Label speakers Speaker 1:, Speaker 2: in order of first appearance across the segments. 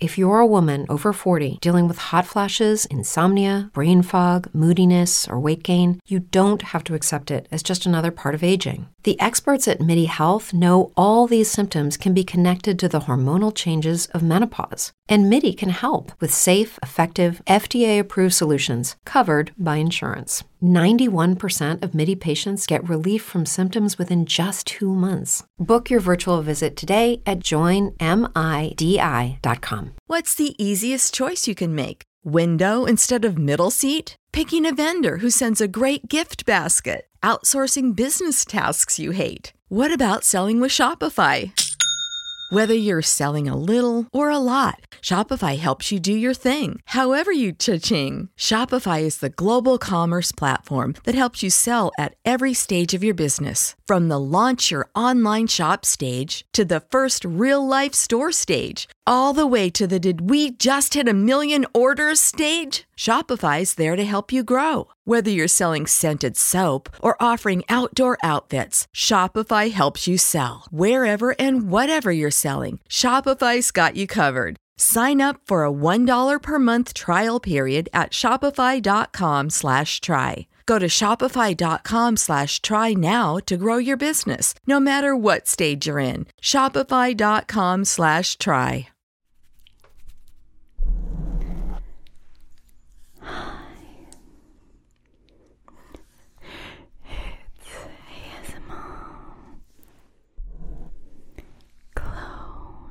Speaker 1: If you're a woman over 40 dealing with hot flashes, insomnia, brain fog, moodiness, or weight gain, you don't have to accept it as just another part of aging. The experts at MIDI Health know all these symptoms can be connected to the hormonal changes of menopause, and MIDI can help with safe, effective, FDA approved solutions covered by insurance. 91% of MIDI patients get relief from symptoms within just two months. Book your virtual visit today at joinmidi.com. What's the easiest choice you can make? Window instead of middle seat? Picking a vendor who sends a great gift basket? Outsourcing business tasks you hate? What about selling with Shopify? Whether you're selling a little or a lot, Shopify helps you do your thing, however you cha-ching. Shopify is the global commerce platform that helps you sell at every stage of your business. From the launch your online shop stage to the first real life store stage, all the way to the did we just hit a million orders stage? Shopify is there to help you grow. Whether you're selling scented soap or offering outdoor outfits, Shopify helps you sell. Wherever and whatever you're selling, Shopify's got you covered. Sign up for a $1 per month trial period at shopify.com slash try. Go to shopify.com slash try now to grow your business, no matter what stage you're in. Shopify.com slash try. Hi. It's ASMR.
Speaker 2: Glow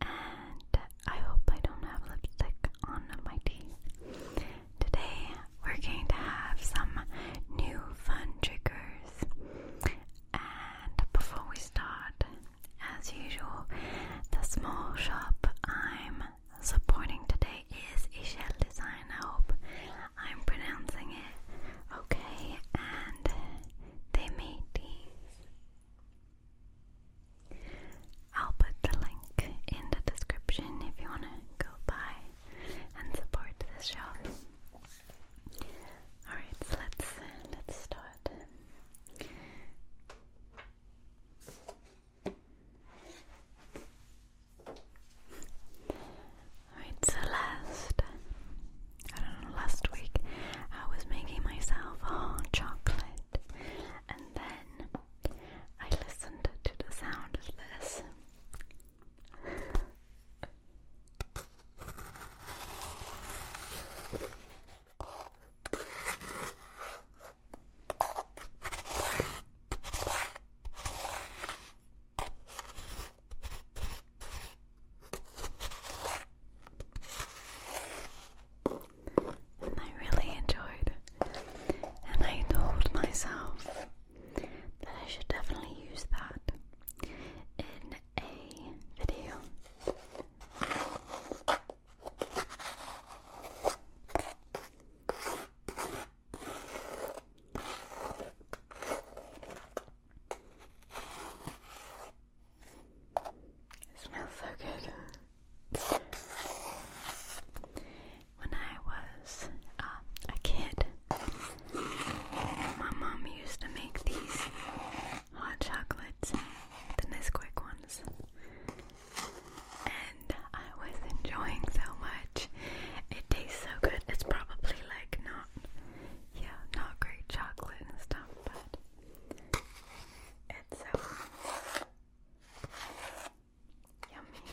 Speaker 2: and I hope I don't have lipstick on my teeth. Today we're going to have some new fun triggers. And before we start, as usual, the small shop I'm supporting today is Echelle Design. I hope I'm pronouncing it okay. And they made these I'll put the link in the description if you want to go buy and support this shop. Alright, so let's let's start. Alright, so last I don't know, last week I was making myself hot chocolate, and then I listened to the sound of this. I really enjoyed And I told myself that I should definitely use that in a video. It smells so good. When I was um, a kid, my mom used to make these hot chocolates, the Nesquik ones. And I was enjoying so much. It tastes so good. It's probably like not, yeah, not great chocolate and stuff, but it's so yummy.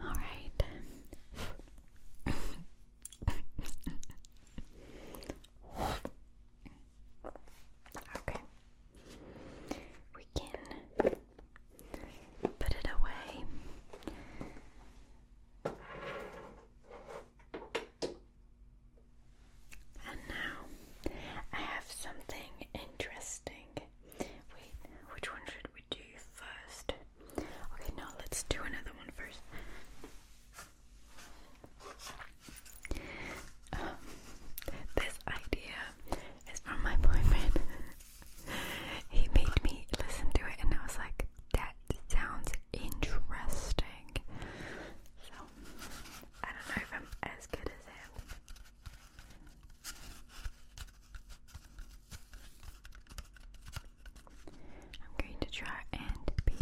Speaker 2: All right. okay. We can Put it away. And now I have something interesting. Wait, which one should we do first? Okay, no, let's do another one first. Um, this idea is from my boyfriend. he made me listen to it, and I was like, that sounds interesting. So, I don't know if I'm as good as him. I'm going to try and be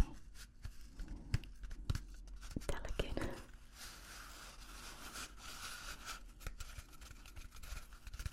Speaker 2: delicate.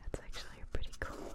Speaker 2: That's actually pretty cool.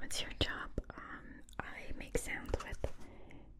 Speaker 2: What's your job? Um, I make sounds with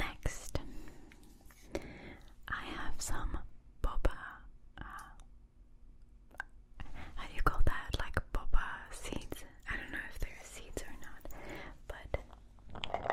Speaker 2: Next, I have some boba. Uh, how do you call that? Like boba seeds? I don't know if they're seeds or not, but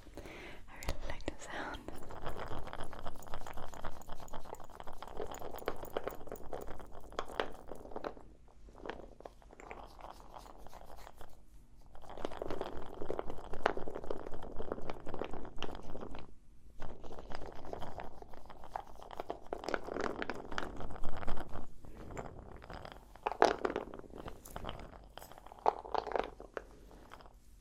Speaker 1: I really like the sound.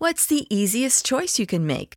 Speaker 1: What's the easiest choice you can make?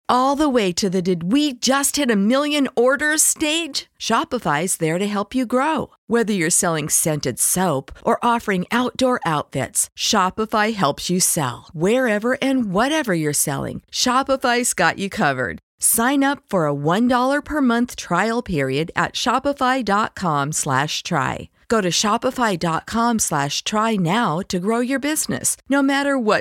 Speaker 1: all the way to the did we just hit a million orders stage? Shopify is there to help you grow. Whether you're selling scented soap or offering outdoor outfits, Shopify helps you sell. Wherever and whatever you're selling, Shopify's got you covered. Sign up for a $1 per month trial period at shopify.com slash try. Go to shopify.com slash try now to grow your business, no matter what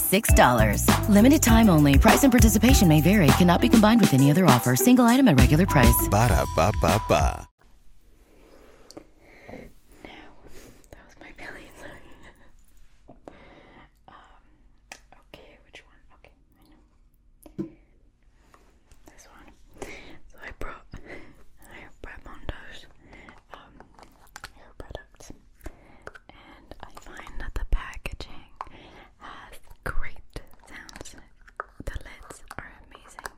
Speaker 2: $6. Limited time only. Price and participation may vary. Cannot be combined with any other offer. Single item at regular price. Ba da ba ba ba. No, that was my belly. Sorry. um, okay, which one? Okay, I know. This one. So I brought, I brought Mondo's um, hair products. And I find that the packaging has great sounds. The lids are amazing.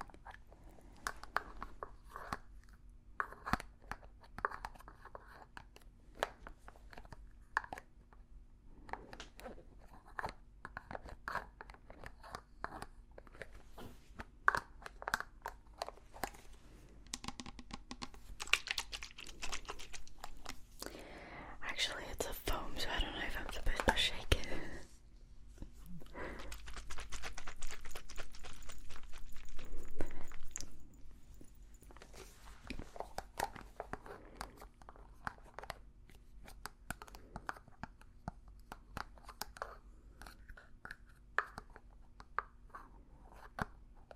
Speaker 2: Actually, it's a foam, so I don't know if I'm supposed to shake it.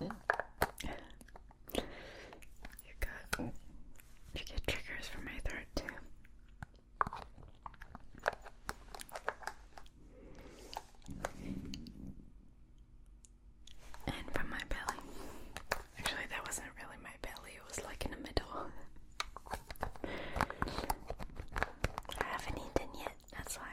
Speaker 2: You got you get triggers for my throat too. And from my belly. Actually, that wasn't really my belly, it was like in the middle. I haven't eaten yet, that's why.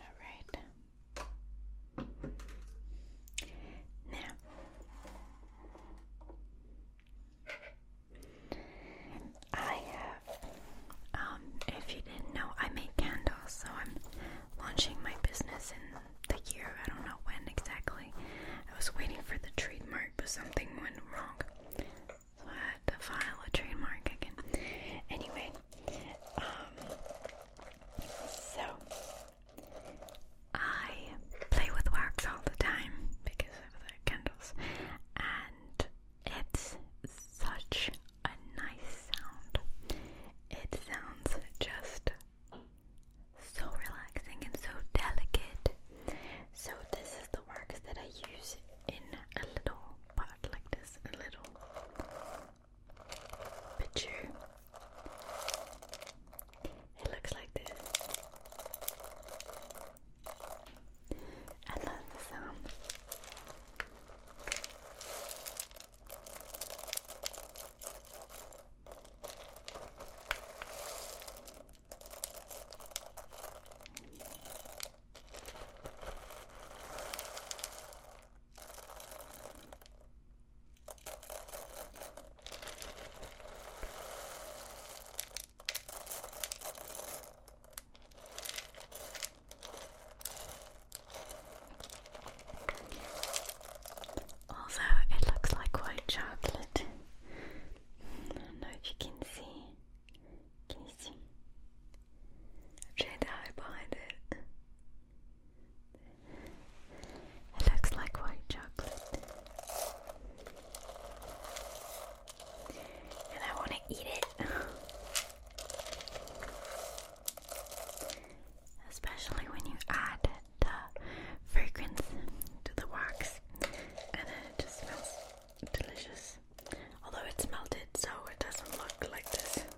Speaker 2: All right. Now, I have, um, if you didn't know, I make candles, so I'm launching my business in the year. I don't know when exactly. I was waiting for the trademark, but something went wrong. So I had to file a trademark again. Anyway, um, so I play with wax all the time because of the candles, and it's such a nice sound. It sounds just so relaxing and so delicate. So, this is the wax that I use in a little pot like this, a little picture. It looks like this. And that's the sound. Although it looks like white chocolate, I don't know if you can see? Jedi behind it. It looks like white chocolate. And I want to eat it. Especially when you add the fragrance to the wax. And it just smells delicious. Although it's melted, so it doesn't look like this.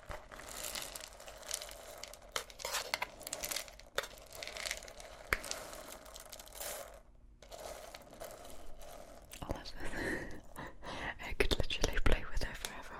Speaker 2: I could literally play with her forever.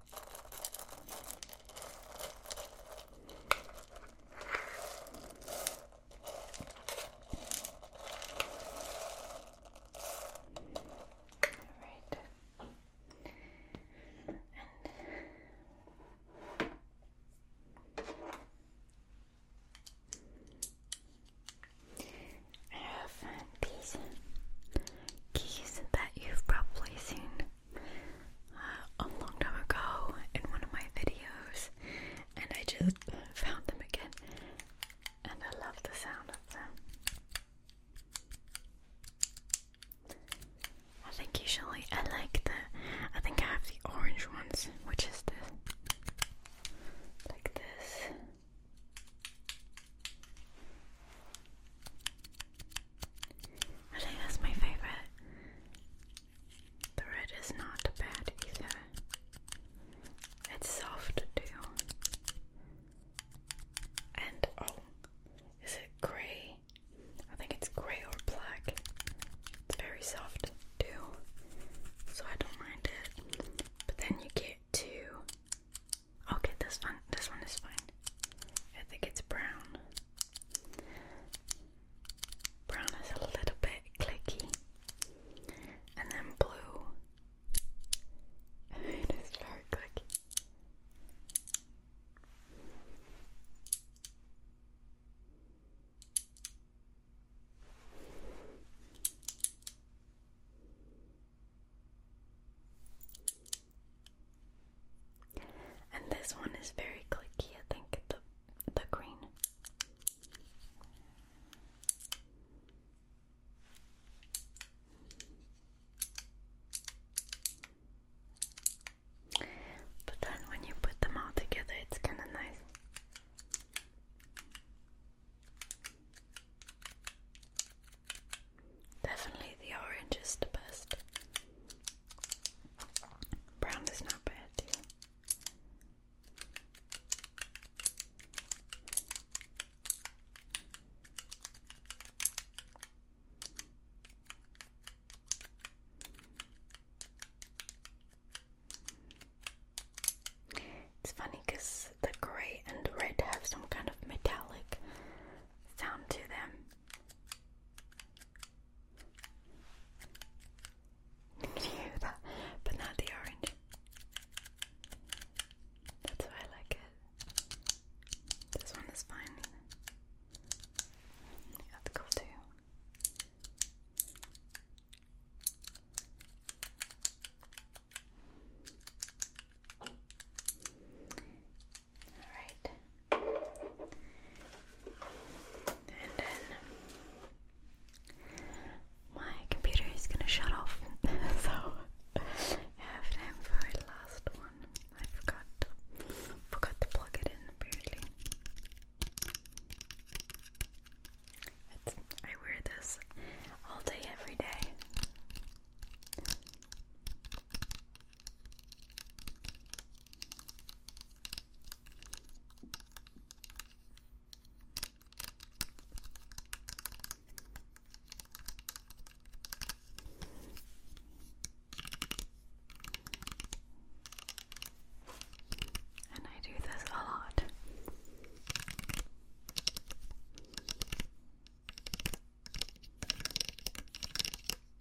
Speaker 2: Alright. I have these keys that you've probably seen a long time ago in one of my videos, and I just found them again, and I love the sound of them. I think usually I like the. I think I have the orange ones, which is the like this. I think that's my favorite. The red is not bad either. It's soft too. And oh, is it gray? I think it's gray or black. It's very soft too, so I don't mind it. But then you get to okay, this one. This one is fine. I think it's brown. Brown is a little bit clicky, and then blue. it is very clicky. And this one is very clicky, I think, the the green. But then when you put them all together, it's kind of nice. Definitely the orange is the best. Brown is not bad, It's funny because the gray and red have some kind of metallic sound to them. You that, but not the orange. That's why I like it. This one is fine. That's cool too. All right. And then my computer is gonna shut off, so I for the last one. I forgot forgot to plug it in apparently. I wear this all day, every day. And I do this a lot.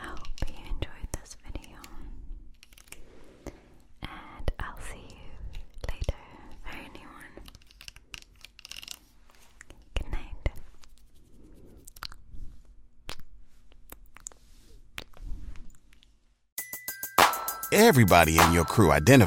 Speaker 2: I hope you enjoyed this video, and I'll see you later for Good night. Everybody in your crew identify